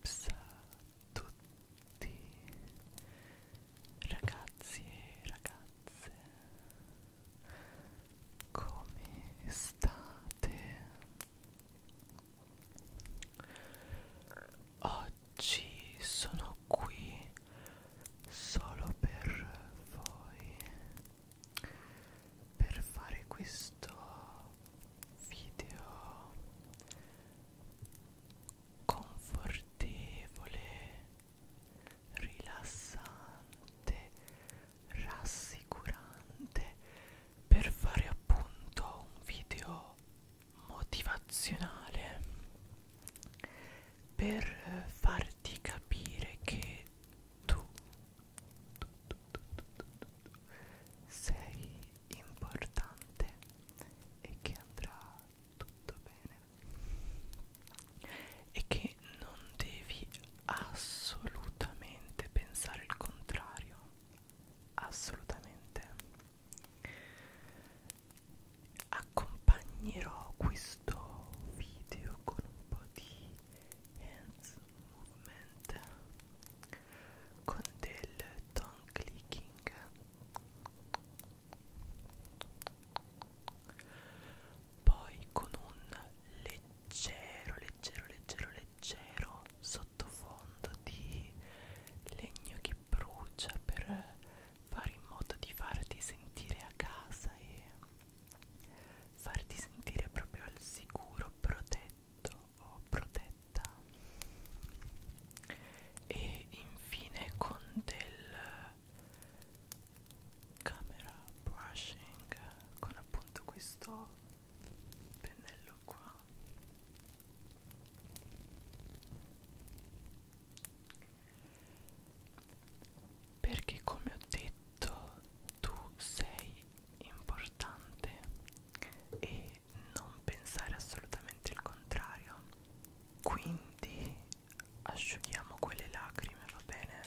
Ups a tutti ragazzi e ragazze come state? Oggi oggi sono qui solo per voi per fare questo video confortevole rilassante rassicurante per fare appunto un video motivazionale per farti capire che tu, tu, tu, tu, tu, tu sei importante e che andrà tutto bene e che non devi assolutamente pensare il contrario assolutamente accompagnerò questo video con un po' di hands movement con del tongue clicking poi con un leggero leggero leggero leggero sottofondo di legno che brucia per fare in modo di farti sentire a casa e farti sentire proprio al sicuro, protetto o protetta e infine con del camera brushing con appunto questo pennello qua perché come ho detto tu sei importante e non pensare assolutamente il contrario quindi asciughiamo quelle lacrime va bene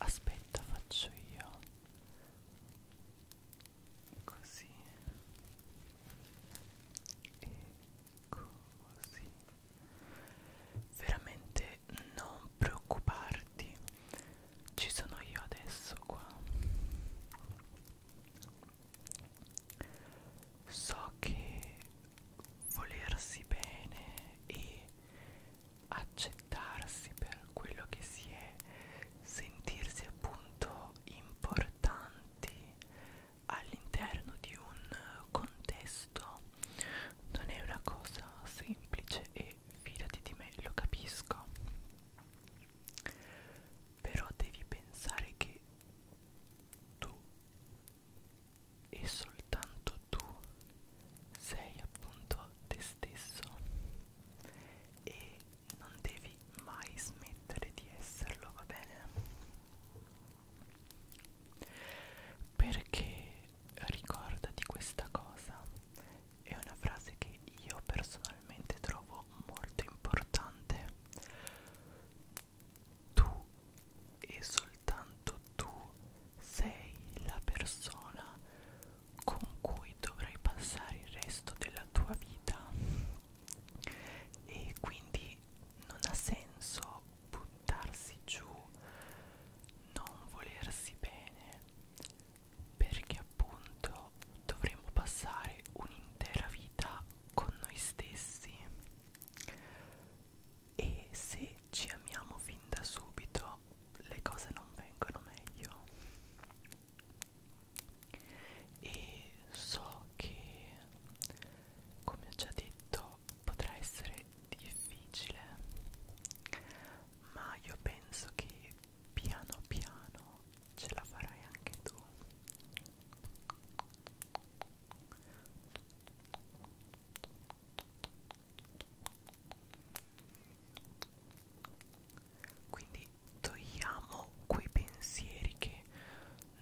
aspetta faccio io così e così veramente non preoccuparti ci sono io adesso qua so che volersi bene e accettarsi per quello che si è, sentirsi appunto importanti all'interno di un contesto non è una cosa semplice e fidati di me, lo capisco. Però devi pensare che tu e soltanto tu sei appunto te stesso e non devi mai smettere di esserlo, va bene? Perché ricordati questa cosa, è una frase che io personalmente trovo molto importante. Tu e soltanto tu sei la persona con cui dovrai passare il resto della tua vita e quindi non ha senso buttarsi giù, non volersi bene, perché appunto dovremo passare un'intera vita con noi stessi e se ci amiamo fin da subito le cose non vengono meglio e so che come ho già detto potrà essere difficile ma io penso che piano piano ce la farai anche tu quindi togliamo quei pensieri che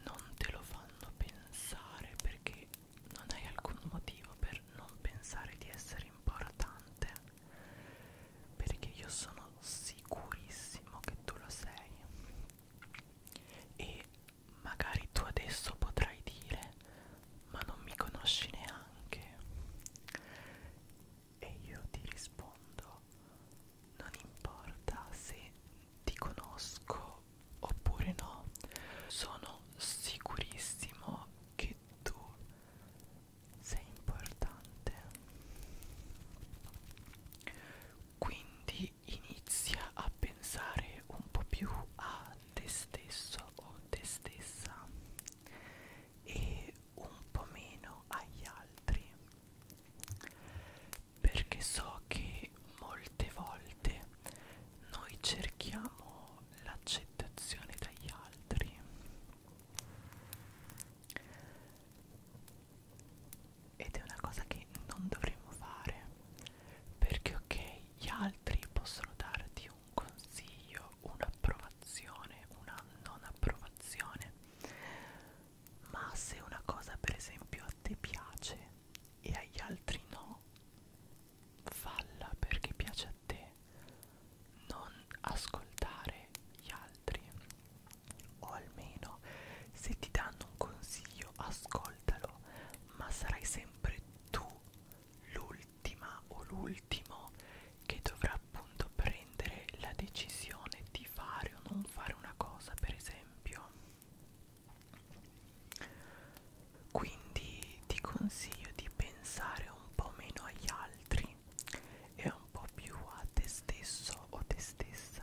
non te lo fanno pensare perché non hai alcun motivo per non pensare di essere importante. Perché io sono sicurissimo che tu lo sei. E Magari tu adesso potrai dire, ma non mi conosci neanche. E io ti rispondo, non importa se ti conosco oppure no, sono sicurissimo che tu sei importante. Quindi inizia a pensare un po' più a te stesso o te stessa e un po' meno agli altri perché so che molte volte noi cerchiamo l'accettazione dagli altri ed è una cosa che non dovremmo fare perché ok gli altri possono darti un consiglio un'approvazione una non approvazione ma se una cosa per esempio a te piace e agli altri no falla perché piace a te non ascoltare gli altri o almeno se ti danno un consiglio ascoltalo ma sarai sempre tu l'ultima o l'ultimo che dovrà appunto prendere la decisione di fare o non fare una cosa per esempio quindi ti consiglio di pensare un po' meno agli altri e un po' più a te stesso o te stessa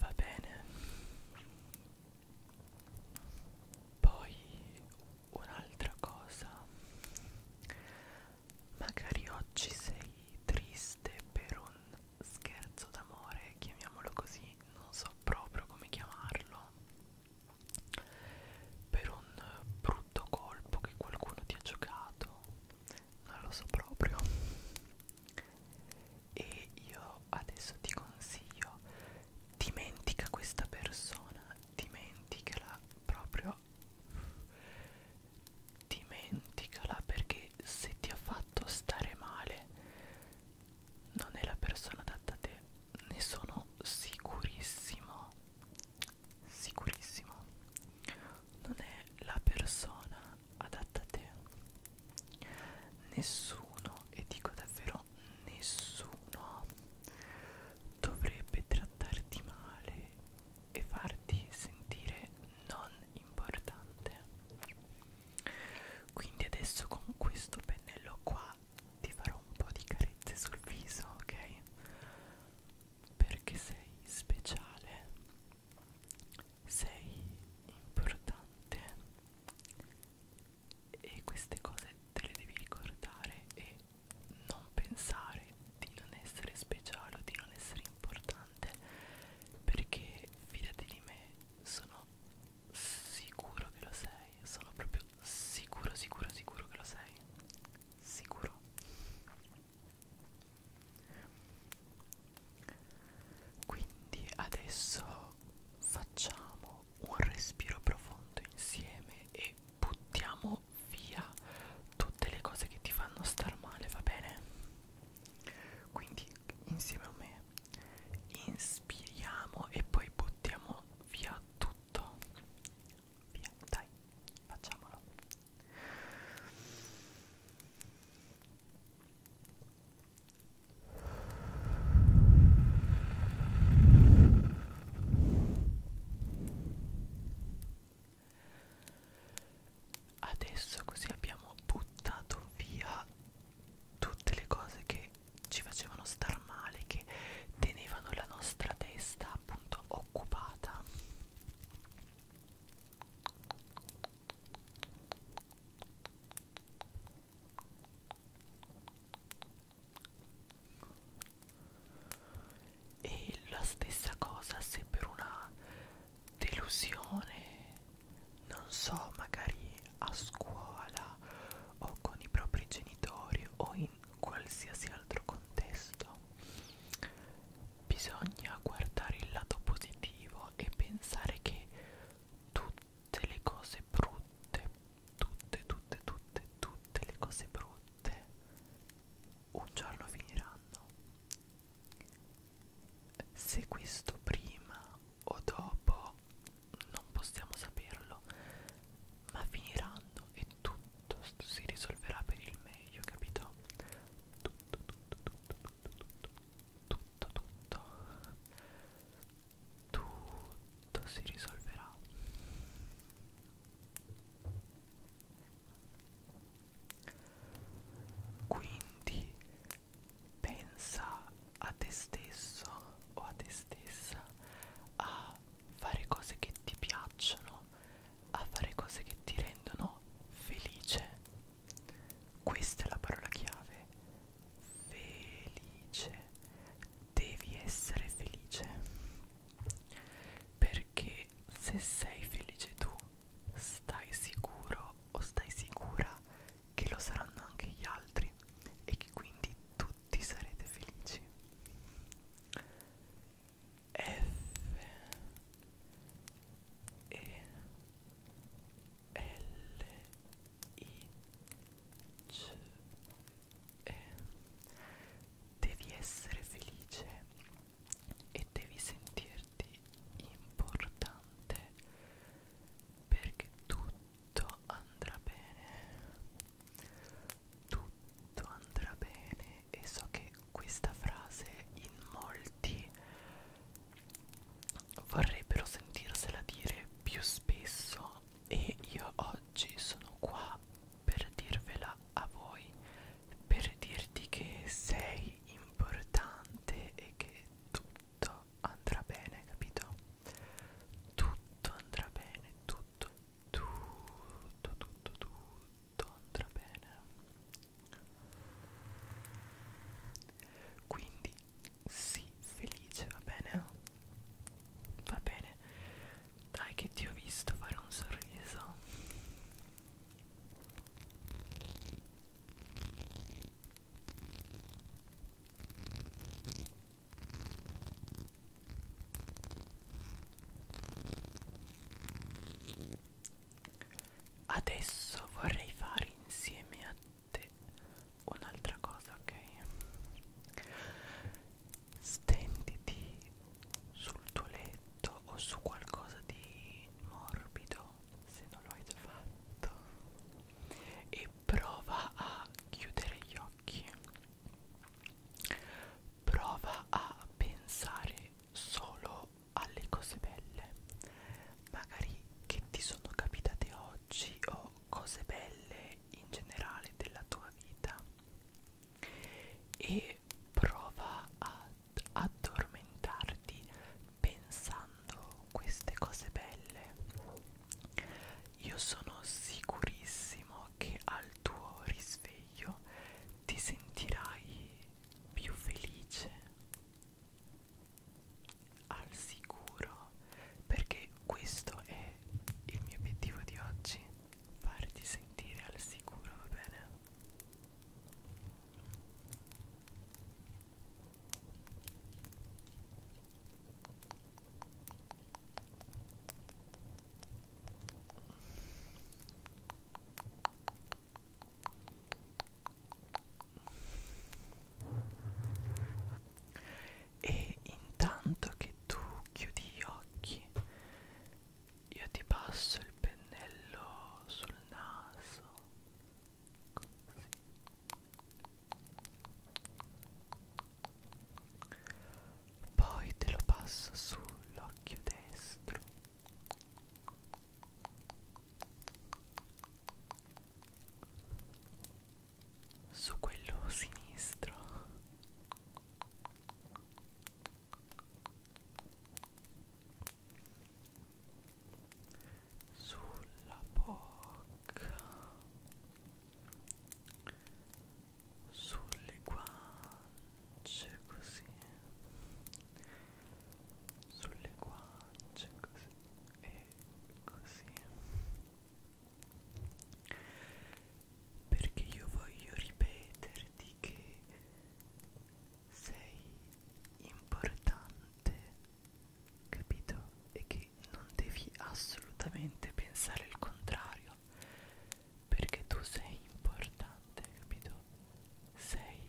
va bene poi un'altra cosa magari oggi sei triste per un scherzo d'amore chiamiamolo così non so proprio come chiamarlo per un brutto colpo che qualcuno ti ha giocato non lo so proprio e io adesso ti consiglio dimentica questa persona dimenticala proprio dimenticala perché se ti ha fatto stare male non è la persona adatta a te ne sono sicurissimo sicurissimo non è la persona adatta a te nessuno e dico davvero nessuno dovrebbe trattarti male e farti sentire non importante quindi adesso con questo pennello qua ti farò un po' di carezze sul viso ok perché sei speciale sei importante e queste cose te le devi ricordare e non pensare di non essere speciale o di non essere importante perché fidati di me sono sicuro che lo sei sono proprio sicuro sicuro sicuro che lo sei sicuro quindi adesso facciamo un respiro profondo insieme e buttiamo via tutte le cose che ti fanno star male, va bene? Quindi insieme a me inspiriamo e poi buttiamo via tutto. Via, dai, facciamolo. Adesso così abbiamo buttato via tutte le cose che ci facevano star male, che tenevano la nostra testa appunto occupata e la stessa cosa se per una delusione non so magari a scuola o con i propri genitori o in in qualsiasi altro contesto bisogna guardare il lato positivo e pensare che tutte le cose brutte tutte tutte tutte tutte le cose brutte un giorno finiranno se questo prima o dopo non possiamo saperlo ma finiranno e tutto si risolverà per il meglio, capito? Tutto, tutto, tutto, tutto, tutto, tutto, tutto, tutto si risolverà. Quindi pensa a te stesso o a te stessa a fare cose che ti piacciono a fare cose che ti rendono felice. Questa è la parola chiave. Felice. Devi essere felice. Perché se sei felice tu, stai sicuro o stai sicura che lo saranno anche gli altri e che quindi tutti sarete felici. E L I C E Devi essere felice e devi sentirti importante perché tutto andrà bene. Tu tutto andrà bene e so che questa frase in molti vorrebbero sentirsela dire più spesso e io oggi sono qua per dirvela a voi per dirti che sei importante e che tutto andrà bene capito tutto andrà bene tutto tutto tutto tutto andrà bene quindi sii felice va bene va bene dai che ti ho visto fare un sorriso Adesso vorrei fare insieme a te un'altra cosa, ok? Stenditi sul tuo letto o su qualcosa di morbido, se non lo hai già fatto, e prova a chiudere gli occhi Prova a pensare solo alle cose belle, magari che ti sono capitate oggi o cose belle in generale della tua vita e prova ad addormentarti pensando queste cose belle io sono sicurissimo che al tuo risveglio ti sentirai più felice, al sicuro, perché questo è il mio obiettivo di oggi, farti sentire al sicuro, va bene? e intanto che tu chiudi gli occhi io ti passo il pennello sul naso così poi te lo passo sull'occhio destro su quello sinistro sulla bocca sulle guance così sulle guance così e così perché io voglio ripeterti che sei importante capito e che non devi assolutamente pensare il contrario perché tu sei importante capito sei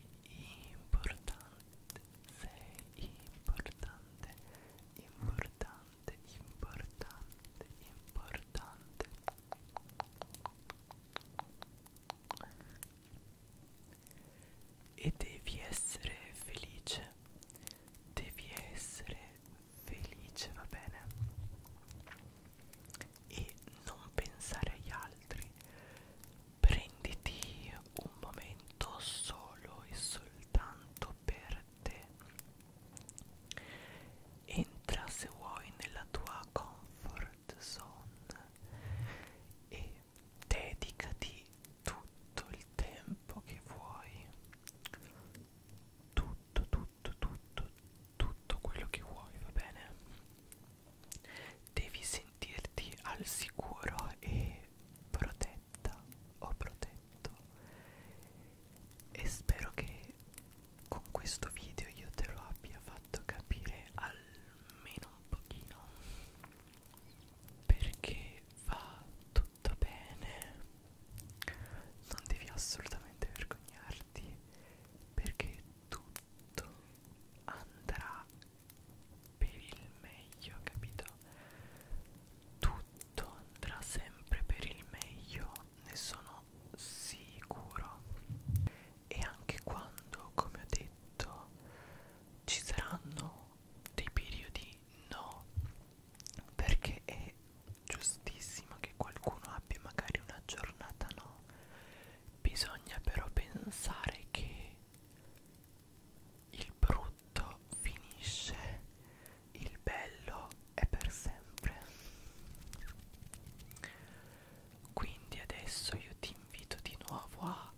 importante sei importante importante importante importante e devi essere felice devi essere felice, va bene? E non pensare agli altri. Prenditi un momento solo e soltanto per te. Entra se vuoi nella tua comfort zone e dedicati tutto il tempo che vuoi tutto tutto tutto tutto quello che vuoi va bene devi sentirti al sicuro e protetta o protetto e spero che con questo video io te lo abbia fatto capire almeno un pochino perché va tutto fatto bene non devi assolutamente vergognarti perché tutto andrà per il meglio capito tutto andrà sempre per il meglio ne sono sicuro e anche quando come ho detto ci saranno dei periodi no perché è giustissimo che qualcuno abbia magari una giornata no bisogna però pensare che il brutto finisce il bello è per sempre quindi adesso io ti invito di nuovo a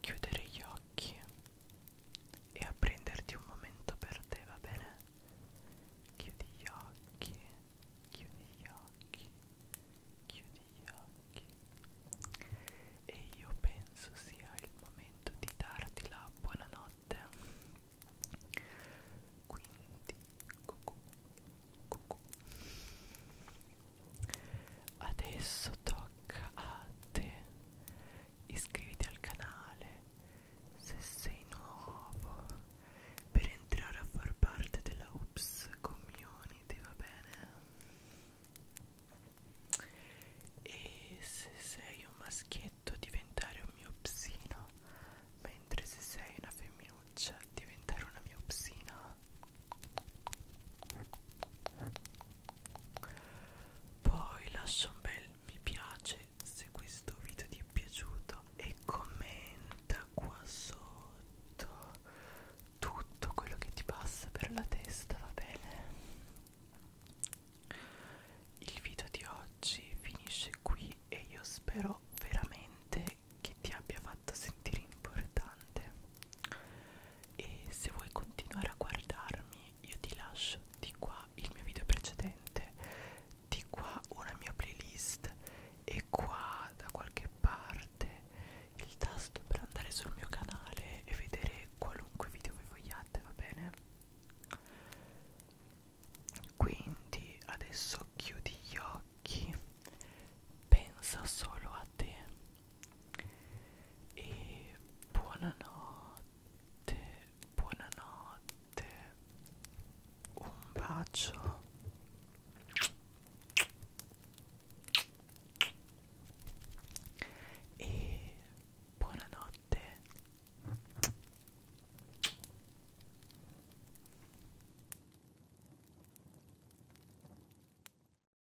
chiudere gli occhi e a prenderti un momento per te, va bene? Chiudi gli occhi, chiudi gli occhi, chiudi gli occhi e io penso sia il momento di darti la buonanotte. Quindi, cucù, cucù. Adesso tocca a te iscriviti al canale se sei nuovo per entrare a far parte della Oops Community, va bene? E se sei un maschietto diventare un mio psino, mentre se sei una femminuccia diventare una mia psina. Poi lascia un bel mi piace se questo video ti è piaciuto e commenta qua sotto tutto quello che ti passa per la testa, va bene? Il video di oggi finisce qui e io spero veramente che ti abbia fatto sentire importante e se vuoi continuare a guardarmi io ti lascio di qua il mio video precedente di qua una mia playlist e qua da qualche parte il tasto per andare sul mio canale e vedere qualunque video voi vogliate va bene quindi adesso chiudi gli occhi pensa solo a te e buonanotte, buonanotte, un bacio e buonanotte.